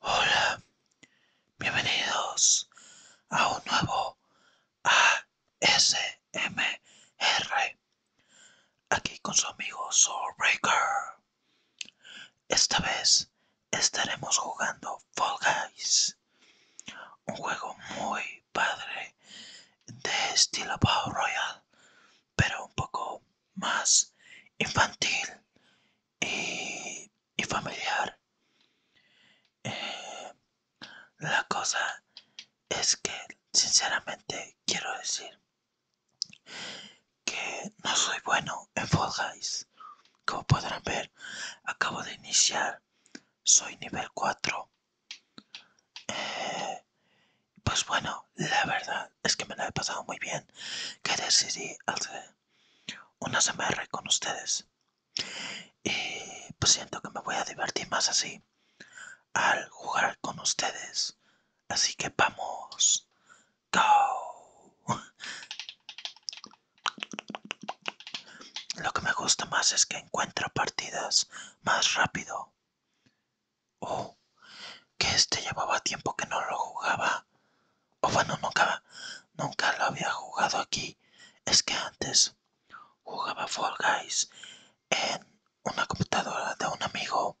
Hola, bienvenidos a un nuevo ASMR. Aquí con su amigo Soulbreaker. Esta vez estaremos jugando Fall Guys, un juego muy padre de estilo Power Royale pero un poco más infantil y, familiar. Eh, la cosa es que sinceramente quiero decir que no soy bueno en Fall Guys. Como podrán ver, acabo de iniciar. Soy nivel 4. Pues bueno, la verdad es que me lo he pasado muy bien que decidí hacer una SMR con ustedes. Y pues siento que me voy a divertir más así al jugar con ustedes. Así que vamos. Go. Lo que me gusta más es que encuentro partidas más rápido. Oh, que este llevaba tiempo que no lo jugaba. O oh, bueno, nunca, lo había jugado aquí. Es que antes jugaba Fall Guys en una computadora de un amigo.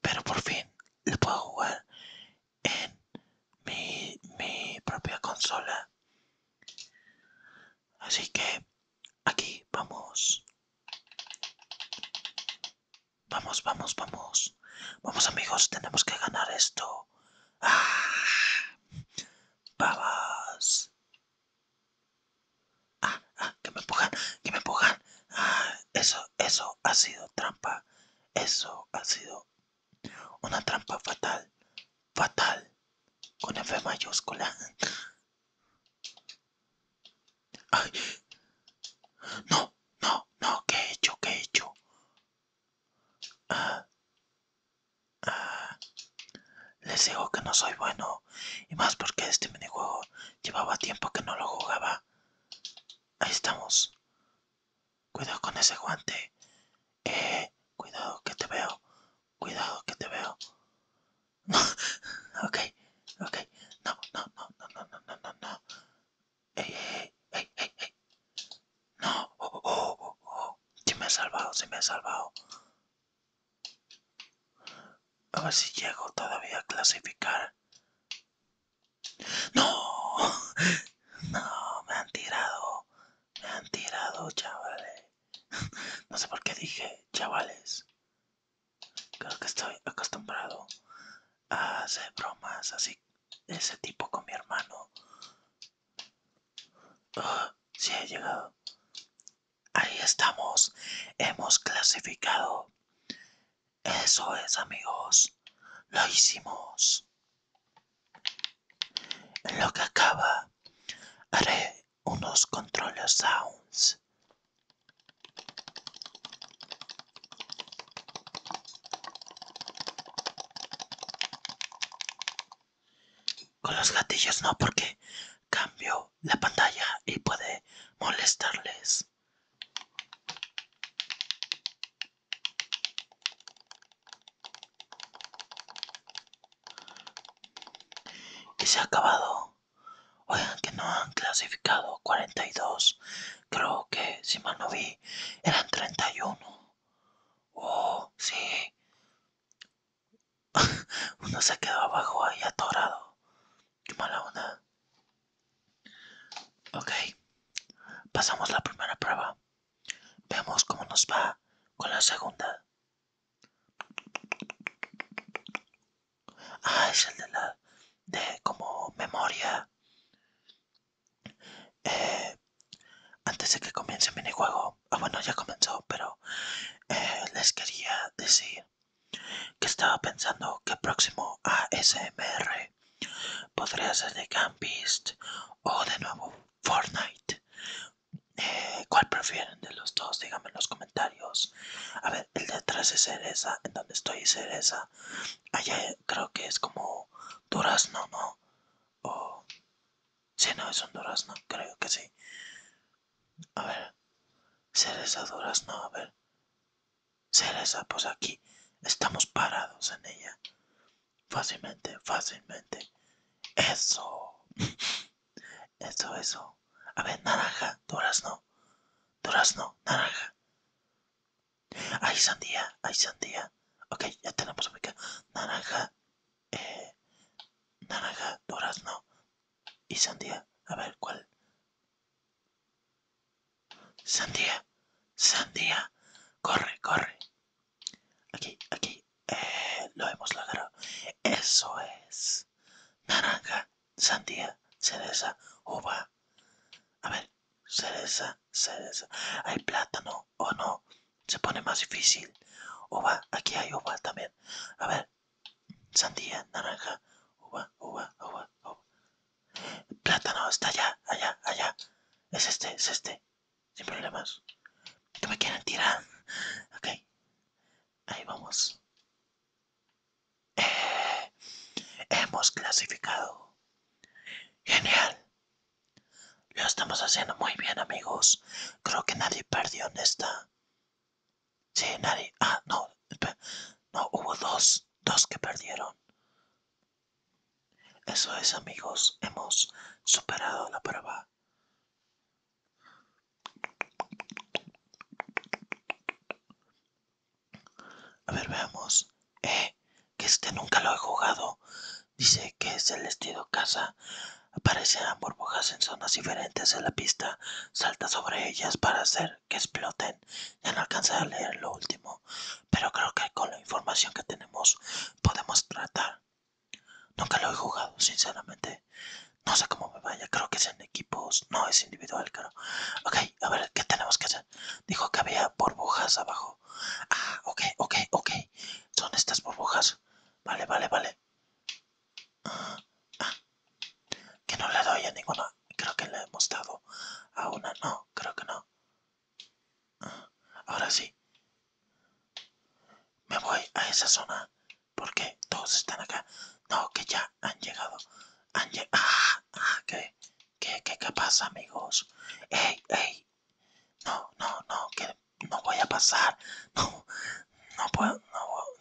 Pero por fin lo puedo jugar en mi, mi propia consola. Así que aquí vamos. Vamos, vamos, vamos. Vamos amigos, tenemos que ganar esto. ¡Ah! ¡Babas! ¡Ah, ah! ah que me empujan! ¡Que me empujan! ¡Ah! Eso, eso ha sido trampa. Eso ha sido una trampa fatal. Fatal. Con F mayúscula. No, no, no, ¿qué he hecho? ¿Qué he hecho? Ah. Ah. Les digo que no soy bueno. Y más porque este minijuego llevaba tiempo que no lo jugaba. Ahí estamos. Cuidado con ese guante. Eh, cuidado que te veo. Cuidado que te veo. ok, ok, no, no, no, no, no, no, no, no, no, ey, ey, ey, no, oh, oh, oh, oh, oh. me ha salvado, si me ha salvado, a ver si llego todavía a clasificar, no, no, me han tirado, me han tirado, chavales, no sé por qué dije, chavales, Creo que estoy acostumbrado a hacer bromas así ese tipo con mi hermano. Ah, sí he llegado. Ahí estamos. Hemos clasificado. Eso es, amigos. Lo hicimos. En lo que acaba, haré unos controles sounds con los gatillos no, porque cambio la pantalla y puede molestarles. Y se ha acabado. Oigan que no han clasificado 42. Creo que, si mal no vi, eran 31. Oh, sí. Uno se quedó abajo ahí atorado. Qué mala onda. Ok. Pasamos la primera prueba. Veamos cómo nos va con la segunda. Ah, es el de la. de como memoria. Eh, antes de que comience el minijuego. Ah, bueno, ya comenzó, pero. Eh, les quería decir que estaba pensando que próximo a SMR podría ser de Campist o de nuevo Fortnite. Eh, ¿Cuál prefieren de los dos? Díganme en los comentarios. A ver, el de atrás es cereza, en donde estoy cereza. Allá creo que es como durazno, ¿no? O... si no, es un durazno, creo que sí. A ver. Cereza durazno, a ver. Cereza, pues aquí estamos parados en ella. Fácilmente, fácilmente. Eso. Eso, eso. A ver, naranja, durazno. Durazno, naranja. Hay sandía, hay sandía. Ok, ya tenemos única Naranja, eh, naranja, durazno y sandía. A ver, ¿cuál? Sandía, sandía. Corre, corre. Aquí, aquí. Eh, lo hemos logrado. Eso es. Naranja, sandía, cereza, uva. A ver, cereza, cereza. Hay plátano o no. Se pone más difícil. Uva, aquí hay uva también. A ver, sandía, naranja, uva, uva, uva, uva. Plátano está allá, allá, allá. Es este, es este. Sin problemas. ¿Qué me quieren tirar. Ok. Ahí vamos hemos clasificado. Genial. Lo estamos haciendo muy bien, amigos. Creo que nadie perdió en esta. Sí, nadie. Ah, no. No, hubo dos. Dos que perdieron. Eso es, amigos. Hemos superado la prueba. A ver, veamos. Eh, que este nunca lo he jugado. Dice que es el estilo casa. Aparecen burbujas en zonas diferentes de la pista. Salta sobre ellas para hacer que exploten. Ya no alcanza a leer lo último. Pero creo que con la información que tenemos podemos tratar. Nunca lo he jugado, sinceramente. No sé cómo me vaya. Creo que es en equipos. No, es individual, claro. Ok, a ver, ¿qué tenemos que hacer? Dijo que había burbujas abajo. Ah, ok, ok, ok. Son estas burbujas. Vale, vale, vale. Ah, ah. Que no le doy a ninguna. Creo que le hemos dado a una. No, creo que no. Ah, ahora sí. Me voy a esa zona. Porque todos están acá. No, que ya han llegado. Han llegado. Ah, ok ¿Qué, qué, qué pasa, amigos? ¡Ey, ey! No, no, no, que no voy a pasar. No, no puedo,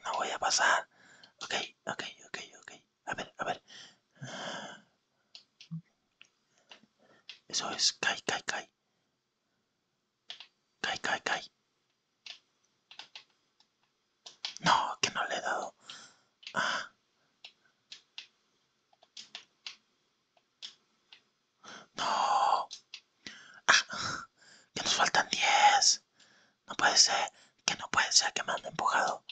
no, voy a pasar. Ok, ok, ok, ok. A ver, a ver. Eso es, cae, cae, cae. Cae, cae, cae. No, que no le he dado. Ah. No. Ah, que nos faltan 10. No puede ser. Que no puede ser que me han empujado.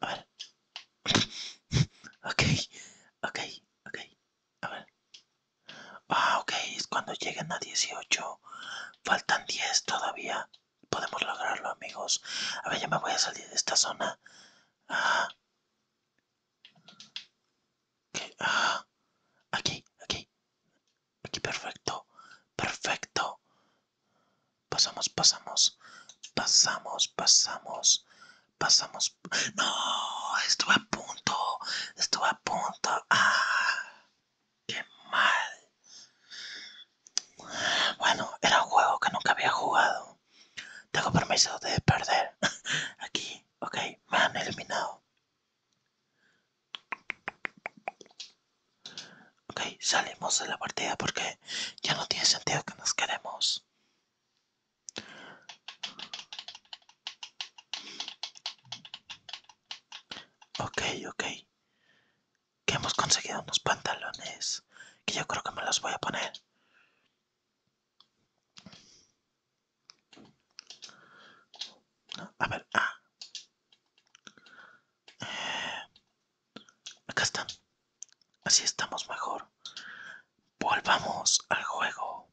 A ver. ok. Ok. Ok. A ver. Ah, ok. Es cuando lleguen a 18. Faltan 10 todavía. Podemos lograrlo, amigos. A ver, ya me voy a salir de esta zona. Ah. Ah. Aquí, aquí. Aquí, perfecto. Perfecto. Pasamos, pasamos. Pasamos, pasamos. Pasamos. No, estuve a punto. Estuve a punto. Ah. ¡Qué mal! Bueno, era un juego que nunca había jugado. Tengo permiso de perder. Aquí, ok, me han eliminado. Ok, salimos de la partida porque ya no tiene sentido que nos queremos. Ok, ok que hemos conseguido unos pantalones que yo creo que me los voy a poner. a ver, ah. Eh, acá están. Así estamos mejor. Volvamos al juego.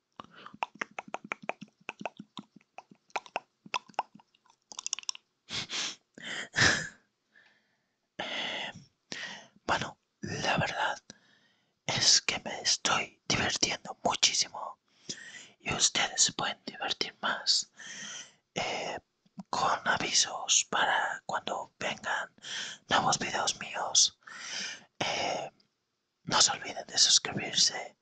bueno, la verdad es que me estoy divirtiendo muchísimo y ustedes se pueden divertir más eh, con avisos para cuando vengan nuevos videos míos. Eh, no se olviden de suscribirse,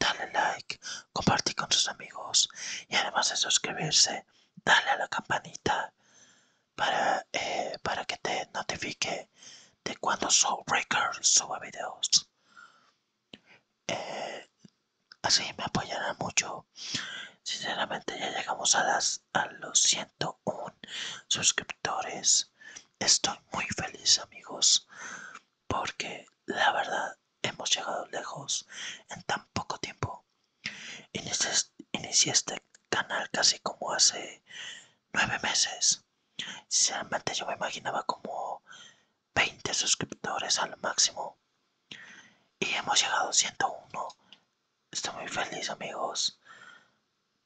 darle like, compartir con sus amigos y además de suscribirse, darle a la campanita para, eh, que te notifique de cuando Soulbreaker suba videos. Eh, así me apoyará mucho. Sinceramente ya llegamos a, las, a los 101 suscriptores. Estoy muy feliz amigos porque la verdad hemos llegado lejos en tan poco tiempo. Inicié este canal casi como hace nueve meses. Sinceramente yo me imaginaba como 20 suscriptores al máximo. Y hemos llegado a 101. Estoy muy feliz amigos.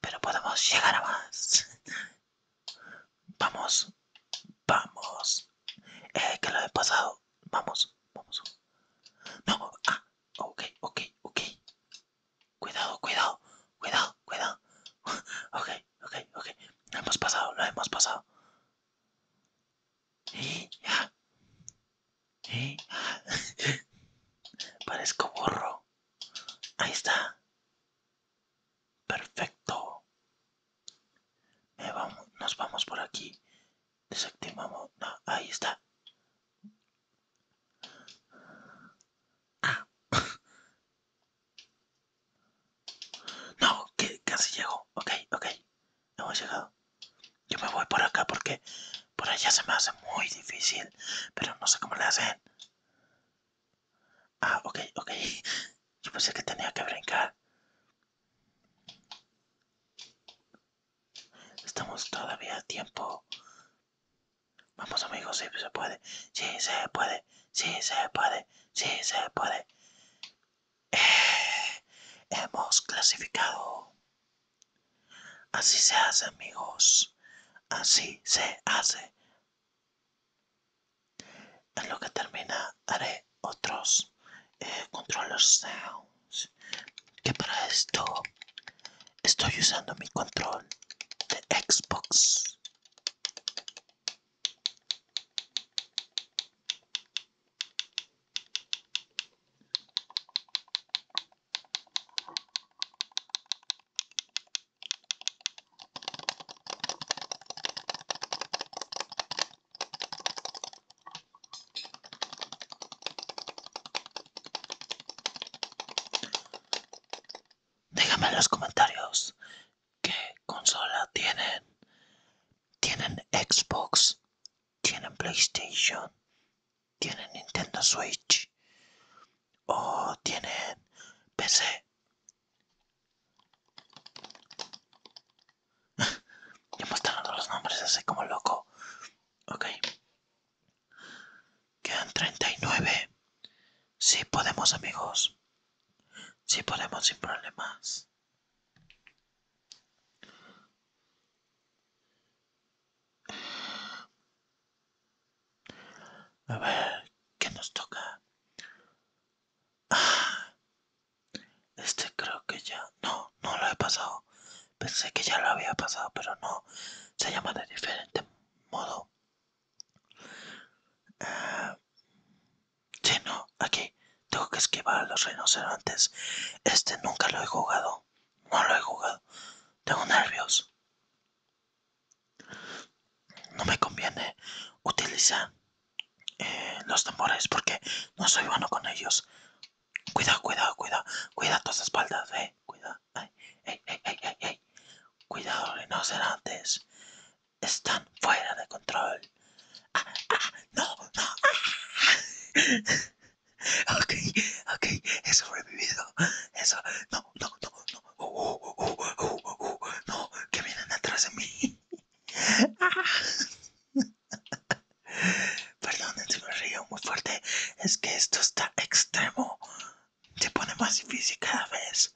Pero podemos llegar a más. Vamos, vamos. Eh, que lo he pasado. Vamos, vamos. No, ah, ok, ok, ok. Cuidado, cuidado, cuidado, cuidado. Ok, ok, ok. Lo hemos pasado, lo hemos pasado. Y ya. Y ya. Parezco burro. Ahí está. Perfecto. nos vamos por aquí. Desactivamos. ahí está. Ah. No, que casi llego. Ok, ok. Hemos llegado. Yo me voy por acá porque por allá se me hace muy difícil. Pero no sé cómo le hacen. Ah, ok, ok. Yo pensé que tenía que brincar. Estamos todavía a tiempo. Vamos amigos, si se puede. si se puede. si se puede. si se puede. Eh, hemos clasificado. Así se hace amigos. Así se hace. En lo que termina haré otros eh, controles de sounds. Que para esto estoy usando mi control de Xbox. Déjame en los comentarios qué consola tienen. ¿Tienen Xbox? ¿Tienen PlayStation? ¿Tienen Nintendo Switch? ¿O tienen PC? están dando los nombres así como loco. Ok. Quedan 39. Sí podemos, amigos. Sí podemos sin problemas. A ver, ¿qué nos toca? este creo que ya... No, no lo he pasado. Pensé que ya lo había pasado, pero no. Se llama de diferente modo. Eh, no, aquí. Tengo que esquivar a los rinocerontes. Este nunca lo he jugado. No lo he jugado. Tengo nervios. No me conviene utilizar eh, los tambores porque no soy bueno con ellos. Cuidado, cuidado, cuidado, cuida tus espaldas, eh. Cuida, ay, ay, ay, ay, ay, Cuidado, rinocerontes. Están fuera de control. Ah, ah, no, no. ok, ok, he sobrevivido. Eso, no, no, no, no, no, que vienen atrás de mí. Perdón, si me río muy fuerte, es que esto está extremo. Se pone más difícil cada vez.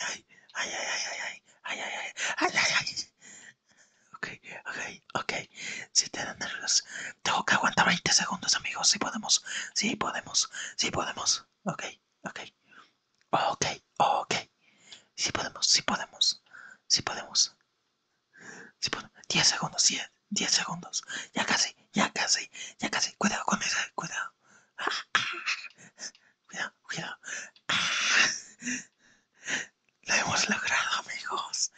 Ay, ay, ay, ay, ay, ay, ay, ay, Ok, ok, ok. Si te dan nervios, tengo que aguantar 20 segundos, amigos. Si podemos, si podemos, si podemos. Ok, ok, Ok, ok. Si podemos, si podemos, si podemos. si podemos. 10 segundos, 10, segundos. Ya casi, ya casi, ya casi. Cuidado con ah, cuidado. Cuidado, cuidado. Ah, lo hemos logrado, amigos.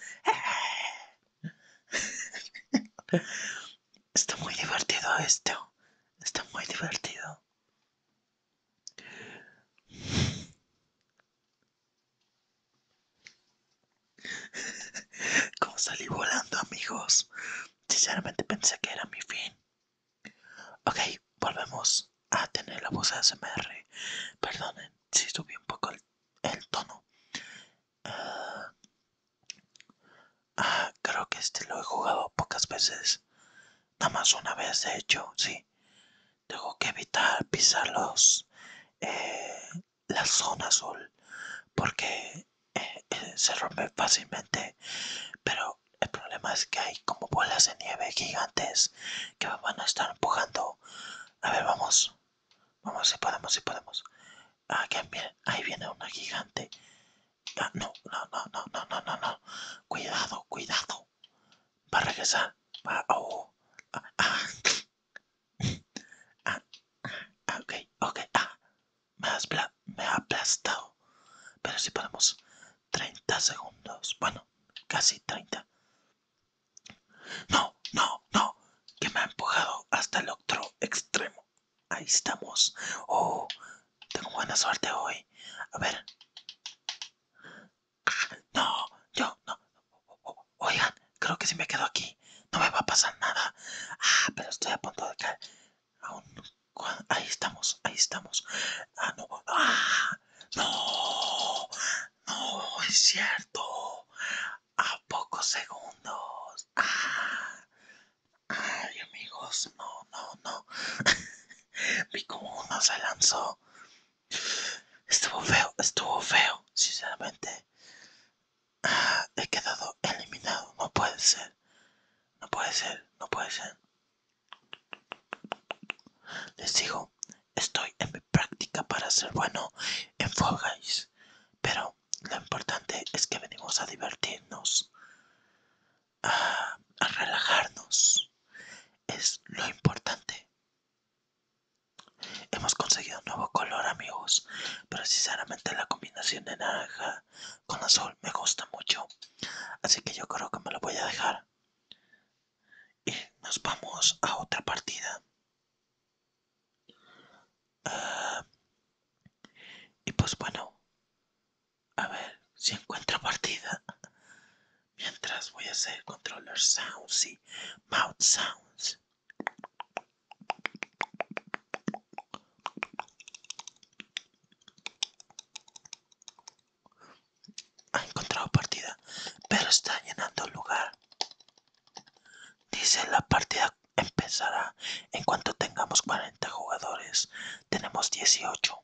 Eh. Está muy divertido esto. Está muy divertido. Como salí volando, amigos, sinceramente pensé que era mi fin. Ok, volvemos a tener la voz de SMR Perdonen si subí un poco el, tono. Ah, ah, creo que este lo he jugado pocas veces nada más una vez de hecho sí tengo que evitar pisar eh, la zona azul porque eh, eh, se rompe fácilmente pero el problema es que hay como bolas de nieve gigantes que van a estar empujando a ver vamos vamos si podemos si podemos ah, ahí viene una gigante no, no, no, no, no, no, no, no. Cuidado, cuidado. Va a regresar. Va, oh. Ah, ah. ah, ah, ah. Me, ha aplastado. Pero si podemos, 30 segundos. Bueno, casi 30. No, no, no. Que me ha empujado hasta el otro extremo. Ahí estamos. Oh, tengo buena suerte hoy. A ver. No, yo no. Oigan, creo que si me quedo aquí no me va a pasar nada. Ah, pero estoy a punto de caer. Ahí estamos, ahí estamos. Ah, no. Ah, no. No, es cierto. A pocos segundos. Ah. Ay, amigos, no, no, no. mi como uno se lanzó. Estuvo feo, estuvo feo, sinceramente. Ah, he quedado eliminado, no puede ser. No puede ser, no puede ser. Les digo, estoy en mi práctica para ser bueno en Fall Pero lo importante es que venimos a divertirnos a, relajarnos es lo importante hemos conseguido un nuevo color amigos pero sinceramente la combinación de naranja con azul me gusta mucho así que yo creo que me lo voy a dejar y nos vamos a otra partida ah, y pues bueno a ver si encuentro partida. Mientras voy a hacer controller sounds y mouth sounds. Ha encontrado partida, pero está llenando lugar. Dice la partida empezará en cuanto tengamos 40 jugadores. Tenemos 18.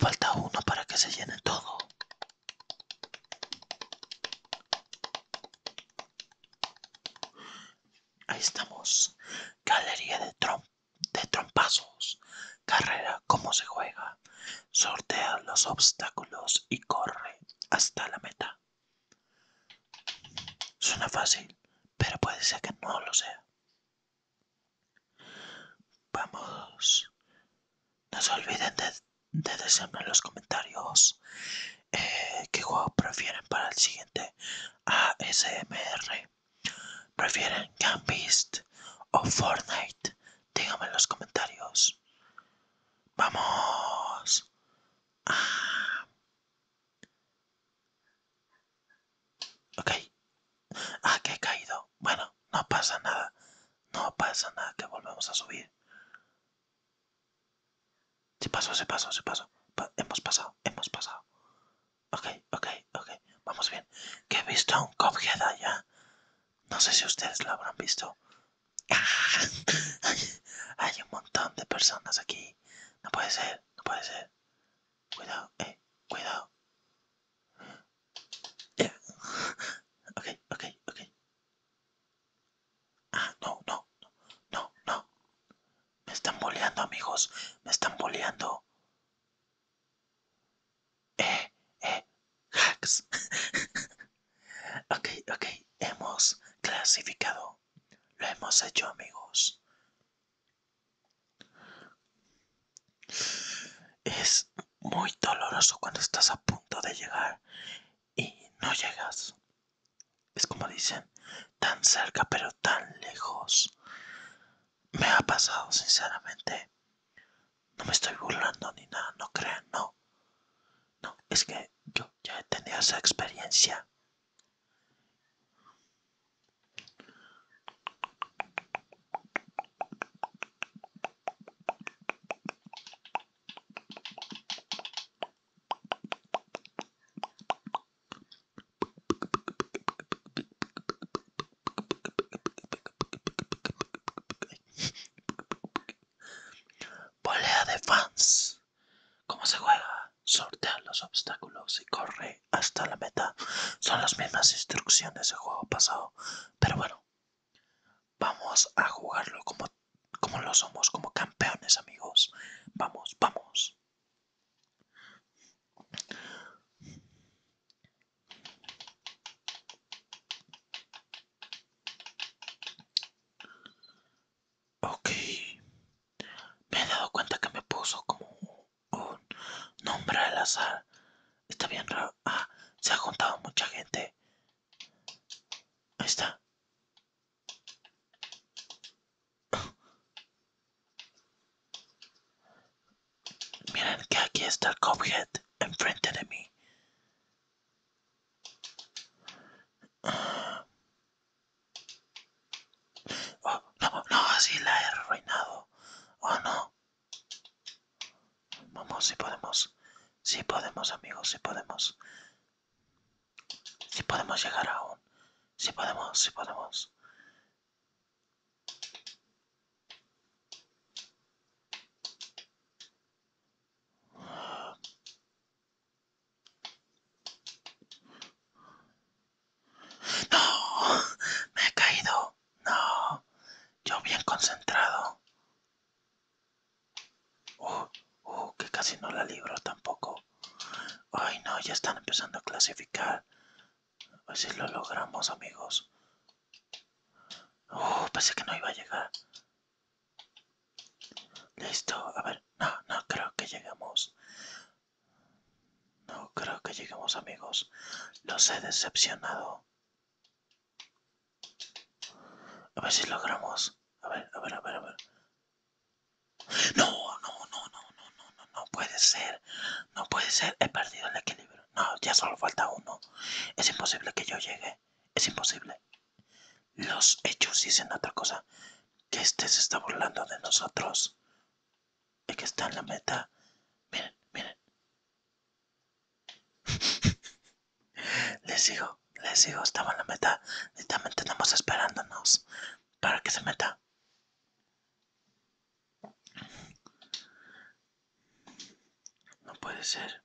Falta uno para que se llene todo. Ahí estamos. Galería de, de trompazos. Carrera, cómo se juega. Sortea los obstáculos y corre hasta la meta. Suena fácil, pero puede ser que no lo sea. Vamos. No se olviden de, de decirme en los comentarios Que eh, qué juego prefieren para el siguiente ASMR. ¿Prefieren Gambist o Fortnite? Díganme en los comentarios. Vamos. Ah. Ok. Ah, que he caído. Bueno, no pasa nada. No pasa nada que volvemos a subir. Se pasó, se pasó, se pasó. hemos pasado, hemos pasado. Ok, ok, ok. Vamos bien. Que he visto un cop ya. No sé si ustedes lo habrán visto. Hay un montón de personas aquí. No puede ser, no puede ser. Cuidado, eh, cuidado. Okay, Ah, no, no, no, no. Me están boleando, amigos. Me están boleando. Eh, eh, hacks. ok, ok. Hemos clasificado. Lo hemos hecho, amigos. Es muy doloroso cuando estás a punto de llegar y no llegas. Es como dicen, tan cerca pero tan lejos. Me ha pasado, sinceramente. No me estoy burlando ni nada, no crean, no. No, es que yo ya he tenido esa experiencia. Polea de fans. ¿Cómo se juega? Sortea los obstáculos y corre hasta la meta. Son las mismas instrucciones del juego pasado. Pero bueno, Vamos a jugarlo como, como lo somos, como campeones amigos. Vamos, vamos. Ok. Me he dado cuenta que me puso como un nombre al azar. Está bien raro. Ah, se ha juntado mucha gente. Ahí está. Miren que aquí está el enfrente de mí. Ah. Oh, no, no, así la he arruinado. Oh, no. Vamos, si podemos. Si podemos, amigos, si podemos. Si podemos llegar aún. Si podemos, si podemos. No, me he caído. No, yo bien concentrado. Uh, uh, que casi no la libro tampoco. Ay, no, ya están empezando a clasificar. A ver si lo logramos, amigos. Uh, pensé que no iba a llegar. Listo, a ver, no, no creo que lleguemos. No creo que lleguemos, amigos. Los he decepcionado. A ver si logramos. A ver, a ver, a ver, a ver. No, no, no, no, no, no, no, no puede ser. No puede ser. He perdido el equilibrio. No, ya solo falta uno. Es imposible que yo llegue. Es imposible. Los hechos dicen otra cosa. Que este se está burlando de nosotros. Y que está en la meta. Miren, miren les digo, les digo, estamos en la meta. Y también esperándonos para que se meta. No puede ser.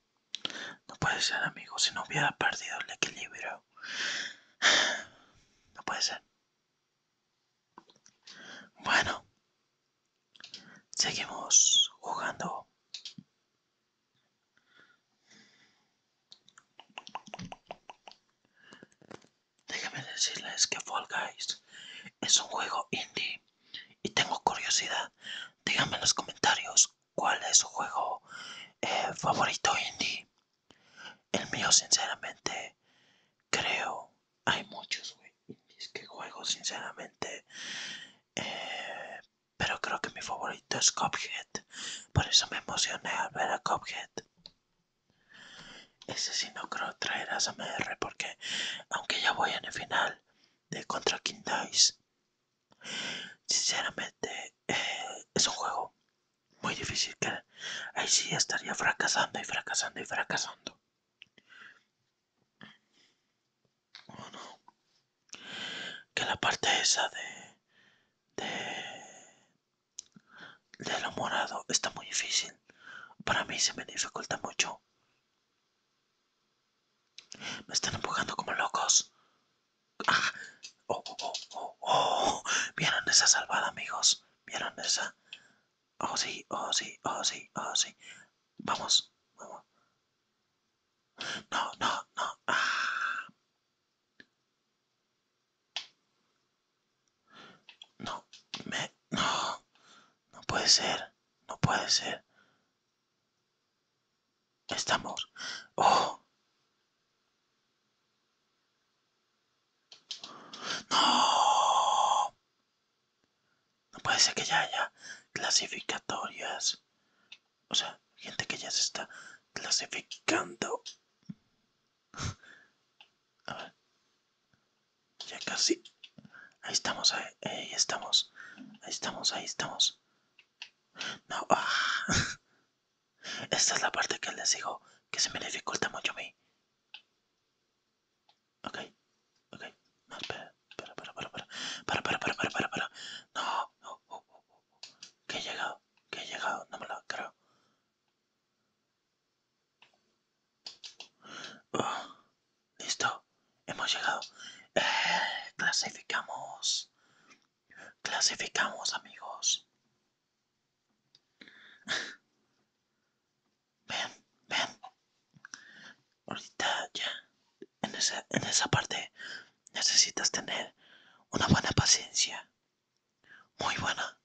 No puede ser, amigo. Si no hubiera perdido el equilibrio. No puede ser. Bueno. Seguimos jugando. Déjame decirles que Fall Guys es un juego indie y tengo curiosidad. Díganme en los comentarios cuál es su juego eh, favorito indie. El mío, sinceramente, creo hay muchos, es que juego sinceramente. Eh, pero creo que mi favorito es Cophead. Por eso me emocioné al ver a Cophead. Ese sí no creo traer a Mr porque aunque ya voy en el final de contra King Sinceramente eh, es un juego muy difícil que ahí sí estaría fracasando y fracasando y fracasando no que la parte esa de de, de lo morado está muy difícil para mí se me dificulta mucho me están empujando como locos ah, oh, oh, oh, oh. oh. vieron esa salvada amigos vieron esa oh sí oh sí oh sí oh sí vamos vamos no, no, no. Ah. No, me... No. No puede ser. No puede ser. Estamos... Oh. No. No puede ser que ya haya clasificatorias. O sea, gente que ya se está clasificando. Ya casi. Ahí estamos, ahí, estamos. Ahí estamos, ahí estamos. No. Ah. Esta es la parte que les digo que se me dificulta mucho a mí. Ok, ok. No, espera, para, para, para. Para, para, para, para, No, no, Que he llegado, que he llegado. No me lo creo. Uh, listo, hemos llegado. Eh, clasificamos. Clasificamos, amigos. Ven, ven. Ahorita ya en esa, esa parte necesitas tener una buena paciencia. Muy buena.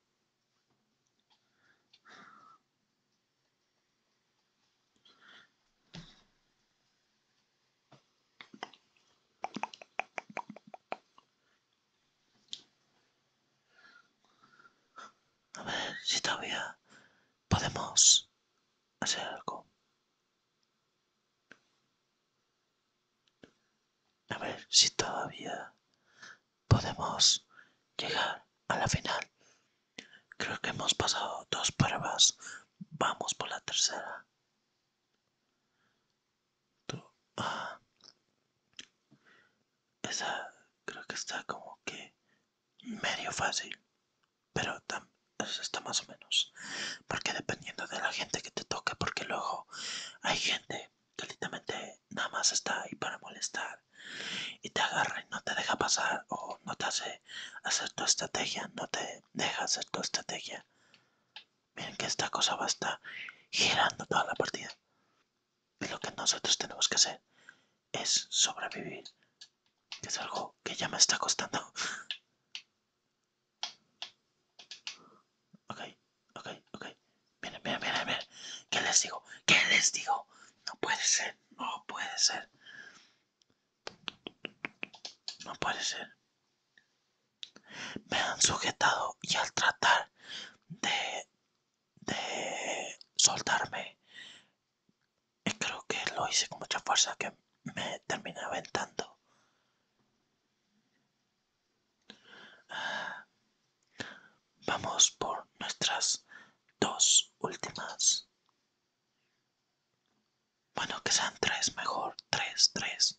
A ver si todavía podemos hacer algo. A ver si todavía podemos llegar a la final. Creo que hemos pasado dos pruebas. Vamos por la tercera. Ah, esa creo que está como que medio fácil, pero está más o menos, porque dependiendo de la gente que te toque, porque luego hay gente que literalmente nada más está ahí para molestar y te agarra y no te deja pasar o no te hace hacer tu estrategia, no te deja hacer tu estrategia. Miren que esta cosa va a estar girando toda la partida. Y lo que nosotros tenemos que hacer es sobrevivir, que es algo que ya me está costando. Ok, ok, ok. Miren, miren, miren, miren. ¿Qué les digo? ¿Qué les digo? No puede ser, no puede ser. No puede ser. Me han sujetado y al tratar de, de soltarme y creo que lo hice con mucha fuerza que me terminé aventando. Vamos por nuestras dos últimas. Bueno, que sean tres, mejor. Tres, tres.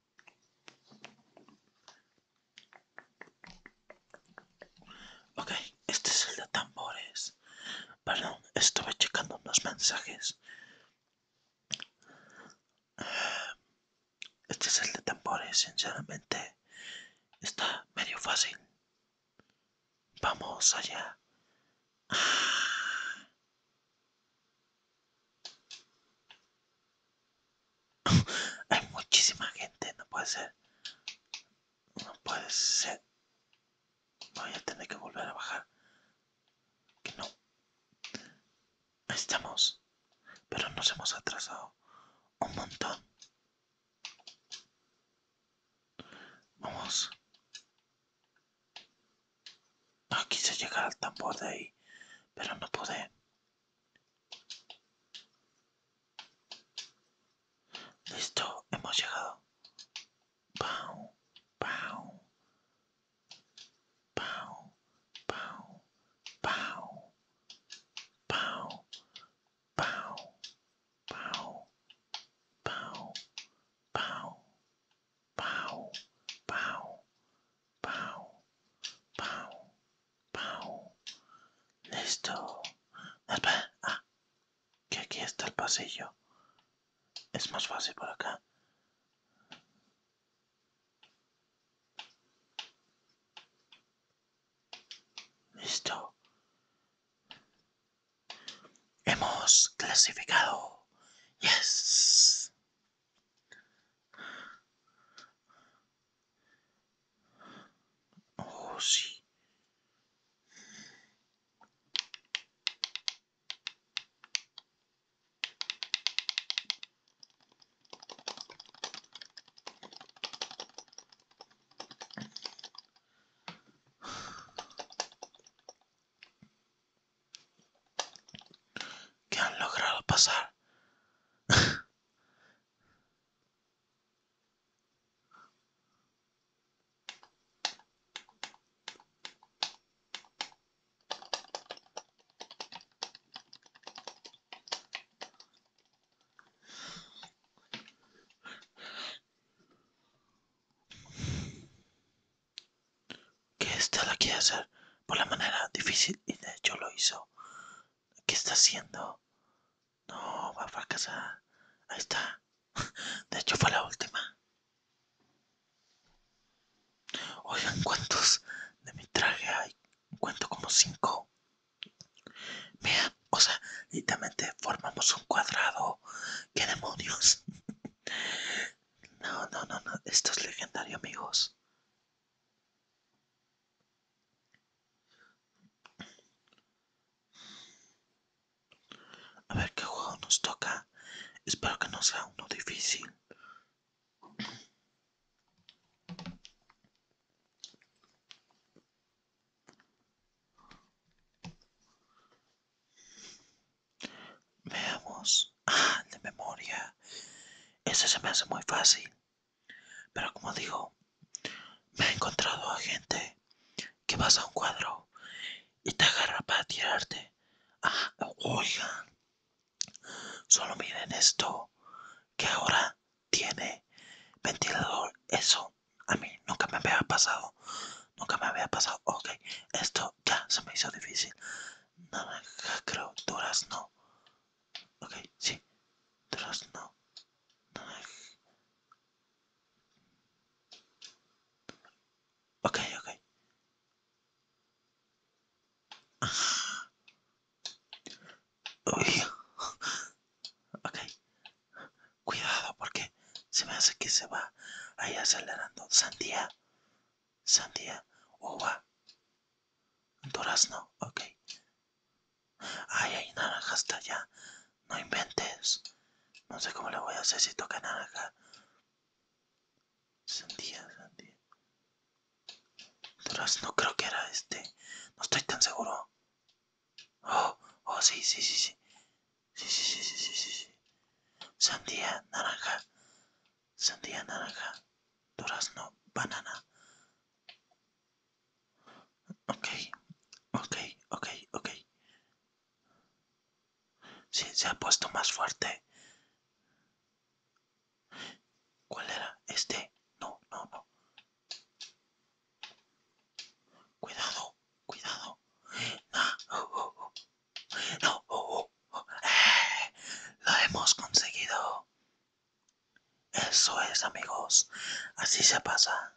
Ok, este es el de tambores. Perdón, estuve checando unos mensajes. Este es el de tambores, sinceramente. Está medio fácil. Vamos allá. Hay muchísima gente, no puede ser. No puede ser. Voy a tener que volver a bajar. Que no. estamos. Pero nos hemos atrasado un montón. Vamos. quise llegar al tambor de ahí, pero no pude. Listo, hemos llegado. Pau, pau, pau, pau, pau, pau, pau, pau, pau, pau, pau, pau, Pau, pau, pau. Listo. Espera. Ah, que aquí está el pasillo. Es más fácil por acá. Listo. Hemos clasificado. Yes. Oh, sí. ¿Qué han logrado pasar que ésta este la quiere hacer por la manera difícil y de hecho lo hizo ¿Qué está haciendo? No, va a fracasar. Ahí está. De hecho fue la última. Oigan, ¿cuántos de mi traje hay? Cuento como cinco. Vean, o sea, literalmente formamos un cuadrado. ¡Qué demonios! No, no, no, no. Esto es legendario, amigos. A ver qué juego nos toca. Espero que no sea uno difícil. Veamos. Ah, de memoria. Ese se me hace muy fácil. Pero como digo, me he encontrado a gente que vas un cuadro y te agarra para tirarte. Ah, solo miren esto que ahora tiene ventilador. Eso a mí nunca me había pasado. Nunca me había pasado. Ok, esto ya se me hizo difícil. Nada, creo, no Ok, sí. No Ok, ok. Ok. Cuidado porque se me hace que se va ahí acelerando. Sandía. Sandía. Uva. no, Ok. Ay, hay naranja hasta allá. No inventes. No sé cómo le voy a hacer si toca naranja. Sandía, sandía. Durazno, creo que era este. No estoy tan seguro. Oh, oh, sí, sí, sí, sí. Sí, sí, Sandía, naranja. Sandía, naranja. Durazno, banana. Ok, ok, ok, ok. Sí, se ha puesto más fuerte. ¿Cuál era? Este. No, no, no. Cuidado, cuidado. No, eh, lo hemos conseguido. Eso es, amigos. Así se pasa.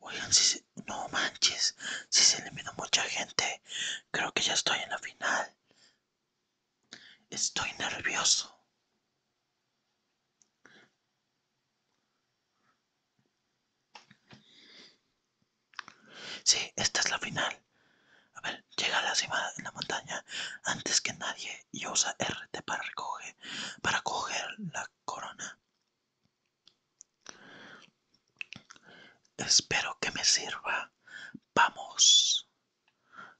Oigan, si se... no manches, si se eliminó mucha gente, creo que ya estoy en la final. Estoy nervioso. Sí, esta es la final. A ver, llega a la cima de la montaña antes que nadie y usa RT para, recoger, para coger la corona. Espero que me sirva. Vamos.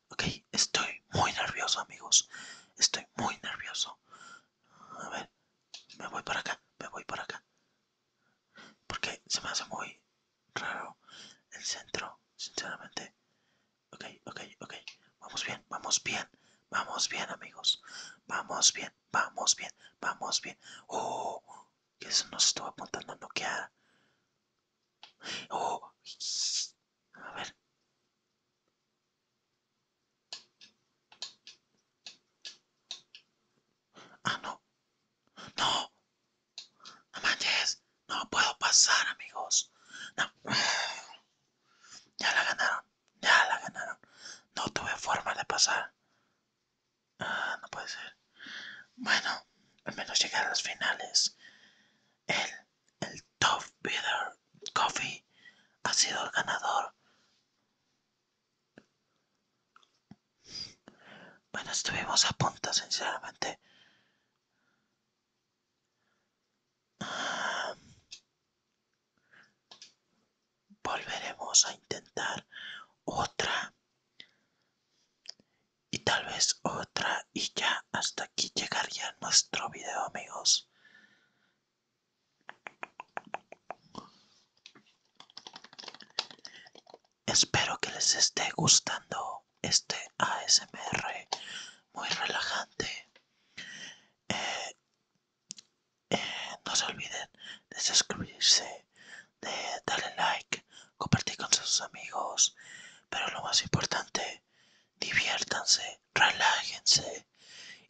Ok, estoy muy nervioso amigos. Estoy muy nervioso. A ver, me voy para acá, me voy para acá. Porque se me hace muy raro el centro, sinceramente. Ok, ok, ok. Vamos bien, vamos bien. Vamos bien, amigos. Vamos bien, vamos bien, vamos bien. Oh, eso nos estuvo apuntando a noquear. Oh, a ver ah no no no no puedo pasar amigos ya la ganaron ya la ganaron no tuve forma de pasar ah no puede ser bueno al menos llegué a las finales el, el top coffee ha sido el ganador bueno, estuvimos a punto, sinceramente. volveremos a intentar otra y tal vez otra y ya hasta aquí llegaría nuestro video amigos Espero que les esté gustando este ASMR muy relajante. Eh, eh, no se olviden de suscribirse, de darle like, compartir con sus amigos. Pero lo más importante, diviértanse, relájense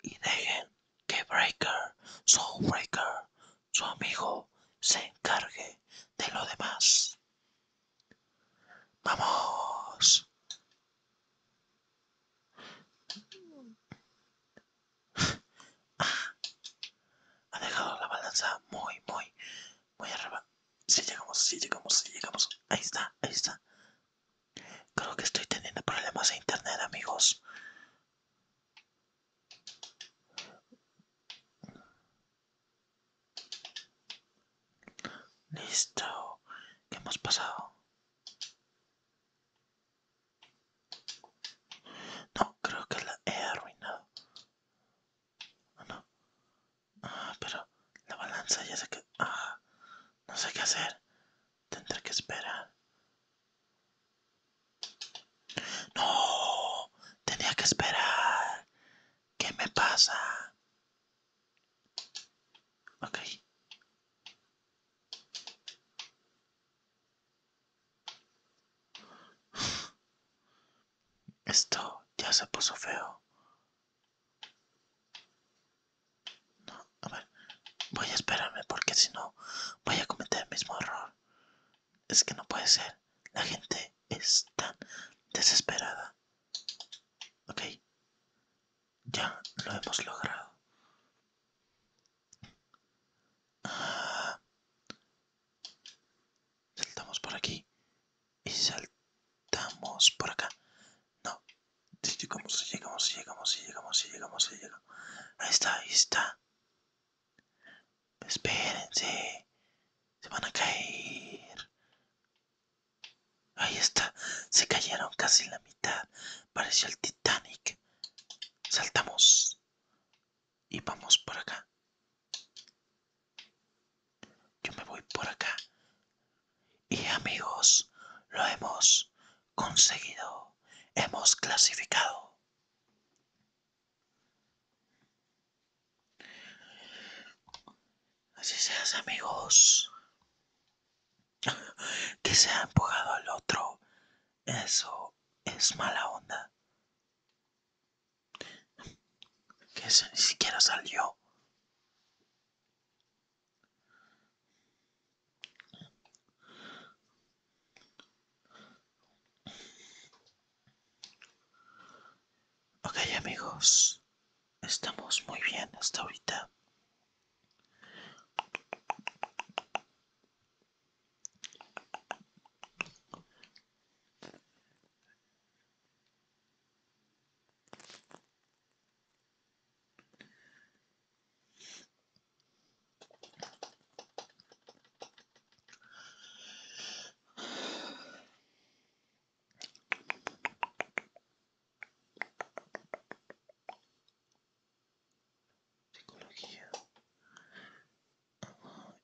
y dejen que Breaker, Soul Breaker, su amigo se encargue de lo demás. Vamos. Ah, ha dejado la balanza muy, muy, muy arriba. Si llegamos, si llegamos, si llegamos. Ahí está, ahí está. Creo que estoy teniendo problemas de internet, amigos. Listo, ¿qué hemos pasado? No, creo que la he arruinado. Ah, no? Ah, pero la balanza ya se que... Ah, no sé qué hacer. Tendré que esperar. No, tenía que esperar. ¿Qué me pasa? Ok. Esto ya se puso feo. No, a ver, voy a esperarme porque si no voy a cometer el mismo error. Es que no puede ser. La gente está desesperada. Ok. Ya lo hemos logrado. Ah. Saltamos por aquí. Y saltamos por acá. No. Llegamos, llegamos, llegamos, llegamos, llegamos, llegamos. Ahí está, ahí está. Espérense, se van a caer. Ahí está, se cayeron casi la mitad. Pareció el Titanic. Saltamos y vamos por acá. Yo me voy por acá. Y amigos, lo hemos conseguido. Hemos clasificado. Así seas amigos. Que se ha empujado al otro. Eso es mala onda. Que eso ni siquiera salió. Ok amigos, estamos muy bien hasta ahorita. Psicología,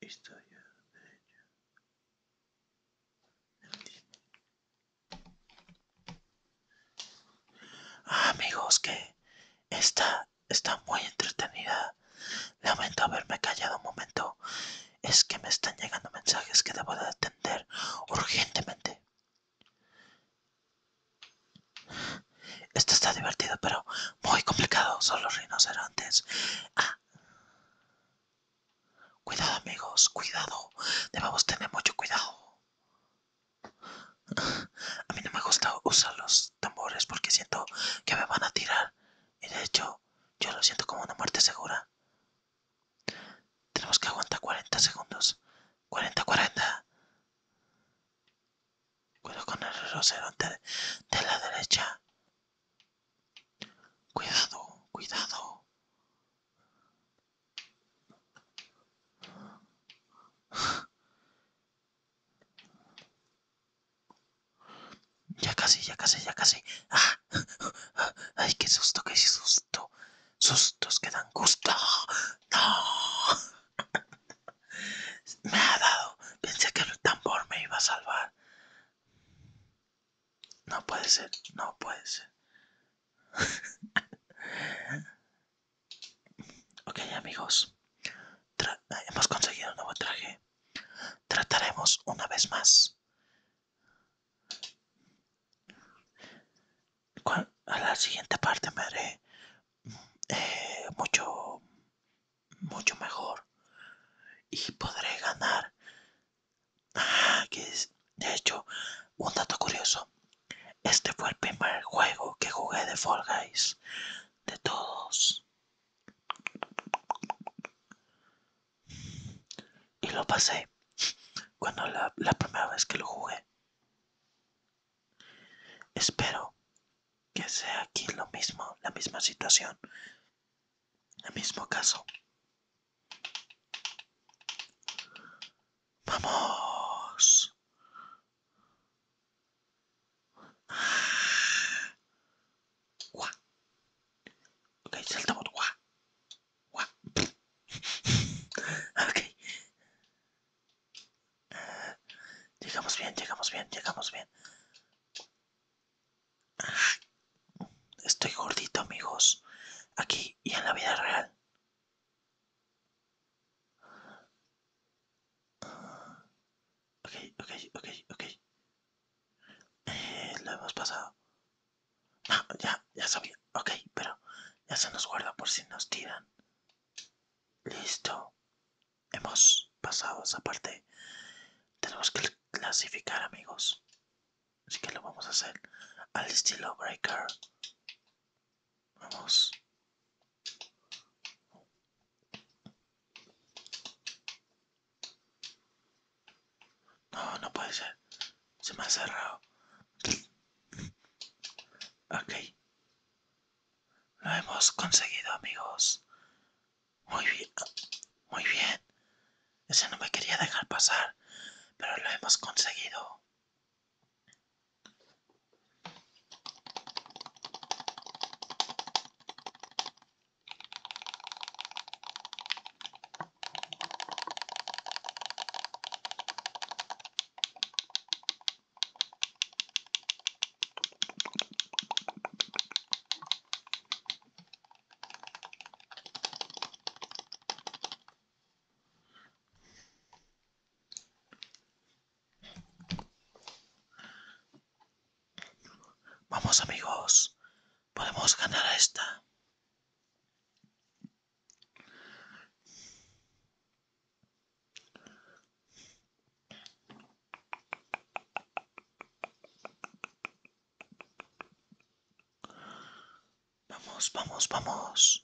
historia, amigos, que esta está muy entretenida Lamento haberme callado un momento. Es que me están llegando mensajes que debo de atender urgentemente. Esto está divertido, pero muy complicado. Son los rinocerontes. Ah. Cuidado amigos, cuidado. Debemos tener mucho cuidado. A mí no me gusta usar los tambores porque siento que me van a tirar. Y de hecho, yo lo siento como una muerte segura. Tenemos que aguantar 40 segundos. 40, 40. Cuidado con el rosero de la derecha. Cuidado, cuidado. Ya casi, ya casi, ya casi. Ah, ¡Ay, qué susto, qué susto! Sustos que dan gusto. ¡No! Me ha dado. Pensé que el tambor me iba a salvar. No puede ser, no puede ser. ok, amigos. hemos conseguido un nuevo traje. Trataremos una vez más a la siguiente parte me haré eh, mucho, mucho mejor y podré ganar. Ah, que de hecho, un dato curioso. Este fue el primer juego que jugué de Fall Guys de todos. Y lo pasé cuando la, primera vez que lo jugué. Espero que sea aquí lo mismo, la misma situación, el mismo caso. Vamos. Gua. Ok, saltamos. Gua. Gua. ok. llegamos bien, llegamos bien, llegamos bien. Estoy gordito, amigos. Aquí y en la vida real. Ok, ok, ok, ok. Eh, lo hemos pasado. ya, ya sabía. Ok, pero ya se nos guarda por si nos tiran. Listo. Hemos pasado esa parte. Tenemos que clasificar, amigos. Así que lo vamos a hacer al estilo Breaker. Vamos. No, no puede ser. Se me ha cerrado. Ok. Lo hemos conseguido, amigos. Muy bien. Muy bien. Ese no me quería dejar pasar. Pero lo hemos conseguido. Vamos amigos, Podemos ganar a esta. Vamos, vamos, vamos.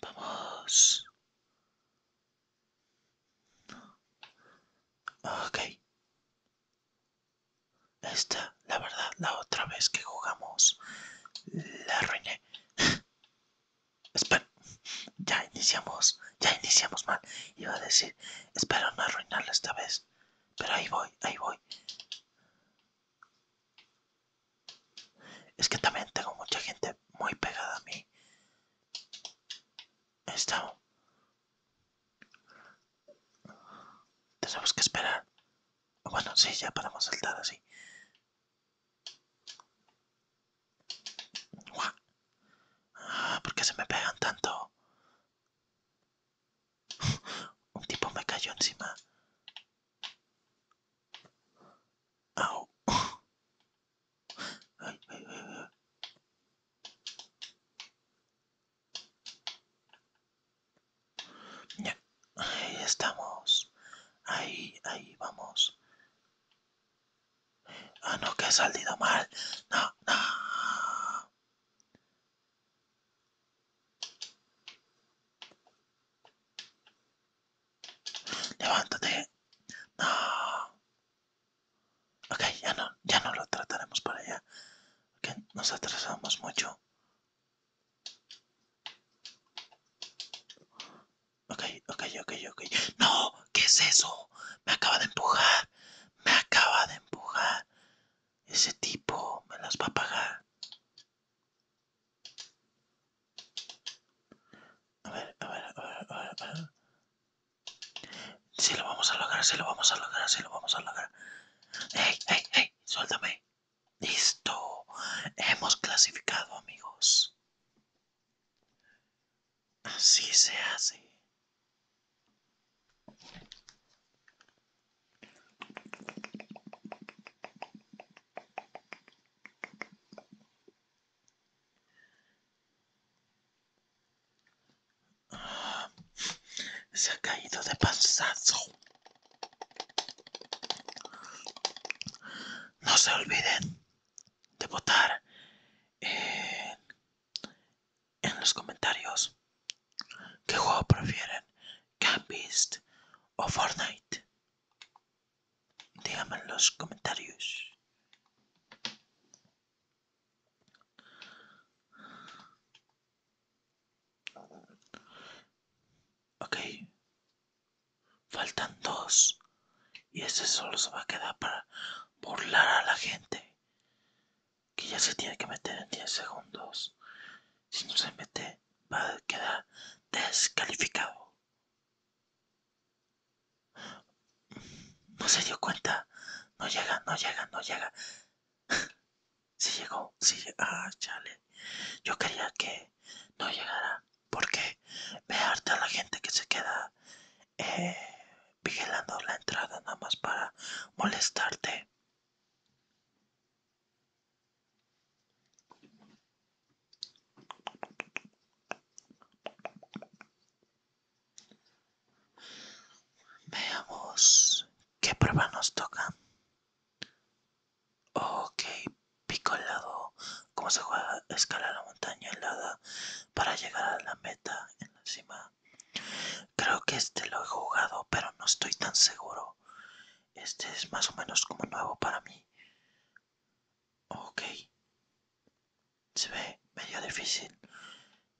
Vamos. Ok. Esta, la verdad, la otra vez que jugamos, la arruiné. Espera, ya iniciamos, ya iniciamos mal. Iba a decir, espero no arruinarla esta vez. Pero ahí voy, ahí voy. Es que también tengo mucha gente muy pegada a mí. Está. Tenemos que esperar. Bueno, sí, ya podemos saltar así. porque ah, ¿Por qué se me pegan tanto? Un tipo me cayó encima. Ahí estamos. Ahí, ahí vamos. Ah, no, que ha salido mal. No, no. Levántate. No. Ok, ya no, ya no lo trataremos para allá. nos atrasamos mucho. Ok, ok, ok, ok. No, ¿qué es eso? Me acaba de empujar. Me acaba de empujar. Ese tipo me las va a pagar. A ver, a ver, a ver, a ver, lo vamos a lograr, si lo vamos a lograr, si lo vamos a lograr. ¡Ey, ey, ey! Suéltame. Listo. Hemos clasificado, amigos. Así se hace. Se ha caído de pasazo No se olviden de votar en, en los comentarios qué juego prefieren Campist o Fortnite? dígame en los comentarios. Ok. Faltan dos. Y este solo se va a quedar para burlar a la gente. Que ya se tiene que meter en 10 segundos. Si no se mete, va a quedar descalificado. No se dio cuenta. No llega, no llega, no llega. Si sí llegó, si llegó, ah, chale. Yo quería que no llegara. Porque vearte a la gente que se queda eh, vigilando la entrada nada más para molestarte. Veamos qué prueba nos toca. Ok, pico helado. ¿Cómo se juega? escalar la montaña helada para llegar a la meta en la cima. Creo que este lo he jugado, pero no estoy tan seguro. Este es más o menos como nuevo para mí. Ok. Se ve medio difícil.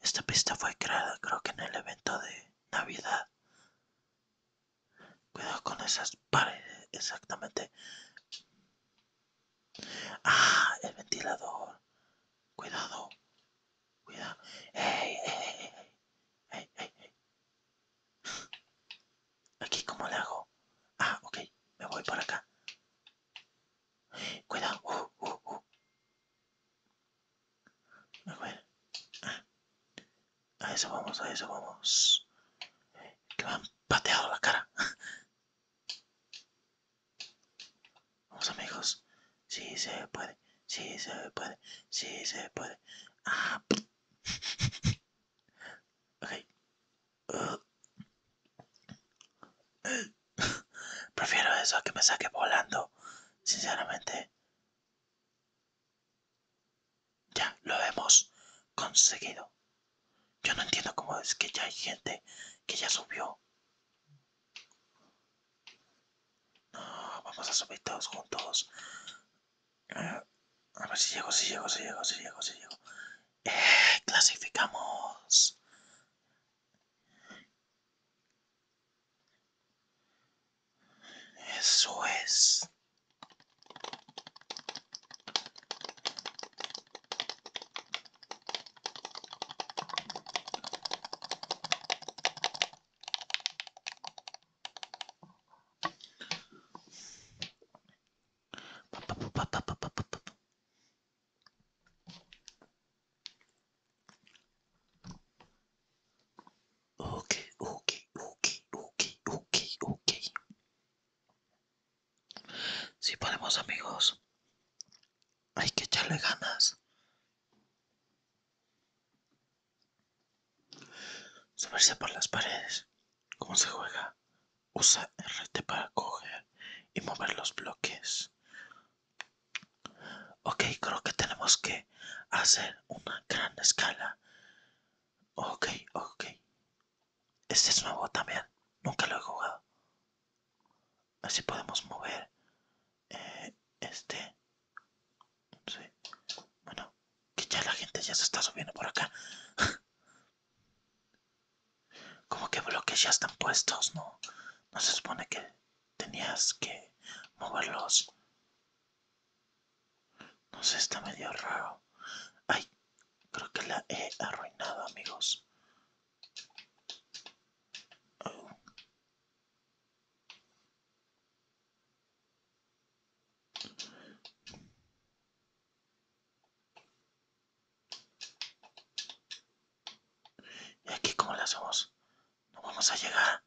Esta pista fue creada creo que en el evento de Navidad. Cuidado con esas paredes, exactamente. Ah, el ventilador. Cuidado. Cuidado. Hey, hey, Aquí, ¿cómo le hago? Ah, ok. Me voy por acá. Cuidado. Uh, uh, uh. ah, a eso vamos, a eso vamos. Que me han pateado la cara. Vamos amigos. Si se puede. Sí se puede. Sí se puede. Ah. Uh. Prefiero eso a que me saque volando, sinceramente. Ya, lo hemos conseguido. Yo no entiendo cómo es que ya hay gente que ya subió. vamos a subir todos juntos. Ah, a ver si llego, si llego, si llego, si llego, si llego. ¡Eh! ¡Clasificamos! Eso es. Ok, ok, ok, ok, ok, ok. Si podemos amigos, hay que echarle ganas. Subirse por las paredes. ¿Cómo se juega? Usa RT para coger y mover los bloques. Ok, creo que tenemos que hacer una gran escala. Ok, ok. Este es nuevo también. Nunca lo he jugado. Así podemos mover eh, este. Sí. Bueno, que ya la gente ya se está subiendo por acá. Como que bloques ya están puestos, ¿no? No se supone que tenías que moverlos. No sé, está medio raro. Ay, creo que la he arruinado, amigos. Y aquí cómo la hacemos, no vamos a llegar.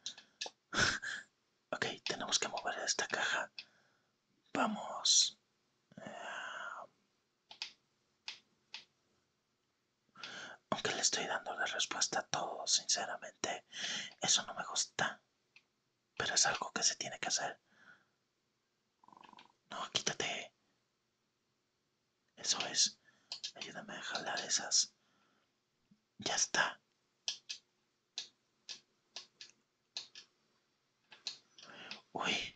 ok, tenemos que mover esta caja. Vamos. Eh, aunque le estoy dando la respuesta a todo, sinceramente, eso no me gusta pero es algo que se tiene que hacer. No, quítate. Eso es. Ayúdame a jalar esas. Ya está. Uy.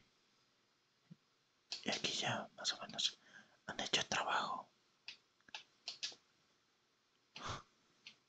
Y aquí ya más o menos han hecho el trabajo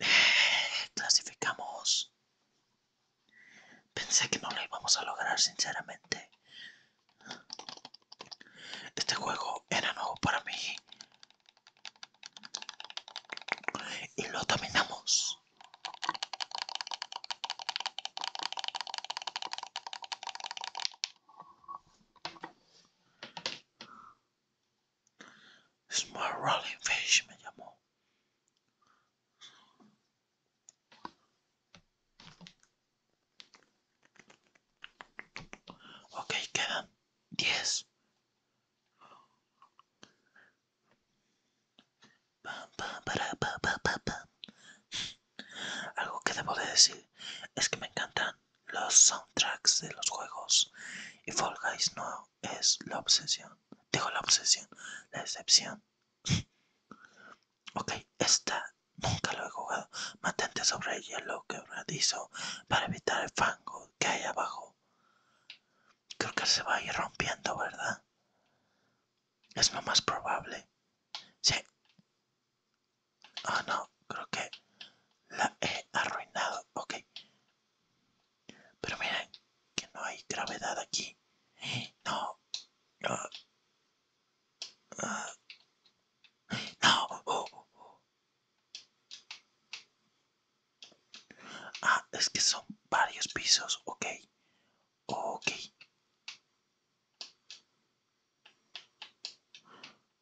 Clasificamos. Pensé que no lo íbamos a lograr, sinceramente. Este juego era nuevo para mí. Y lo dominamos. Small Rolling Fish me llamó. Ok, quedan diez. Algo que debo decir es que me encantan los soundtracks de los juegos y Fall Guys no es la obsesión, digo la obsesión, la excepción. ok, esta nunca lo he jugado. matente sobre el hielo quebradizo para evitar el fango que hay abajo. Creo que se va a ir rompiendo, ¿verdad? Es lo más probable. Sí. Ah, no, creo que la he arruinado. Ok. Pero miren que no hay gravedad aquí. No. No. Ah. No. Oh, oh, oh. Ah, es que son varios pisos. Ok. Ok.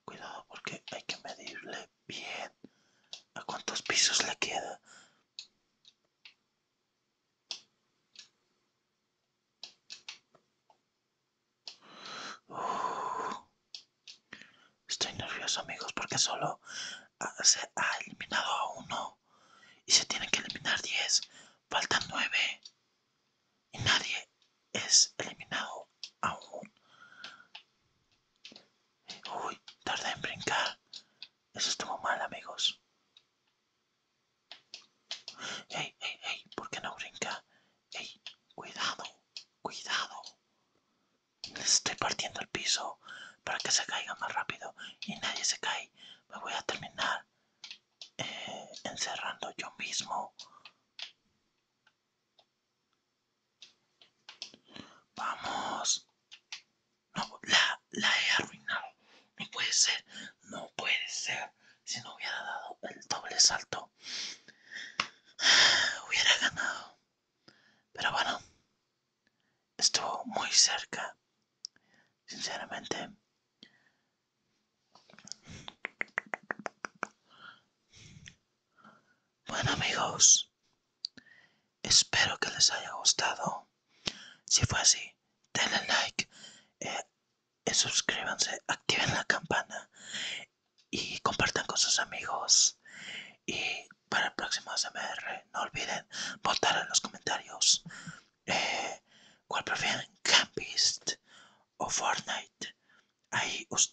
Cuidado porque hay que medirle bien a cuántos pisos le queda. Uh. estoy nervioso amigos porque solo se ha eliminado a uno y se tienen que eliminar 10. Faltan 9 y nadie es eliminado aún. Uy, tarde en brincar. Eso estuvo mal, amigos. ¡Ey, ey, ey! ¿Por qué no brinca? ¡Ey! ¡Cuidado! ¡Cuidado! Les estoy partiendo el piso para que se caiga más rápido y nadie se cae. Me voy a terminar eh, encerrando yo mismo. Vamos. No, la, la he arruinado. No puede ser. No puede ser. Si no hubiera dado el doble salto, hubiera ganado. Pero bueno, estuvo muy cerca. Sinceramente. Bueno amigos, espero que les haya gustado. Si fue así, denle like, eh, eh, suscríbanse, activen la campana y compartan con sus amigos. Y para el próximo SMR, no olviden votar en los comentarios eh, cuál prefieren, Campist o Fortnite. Ahí ustedes.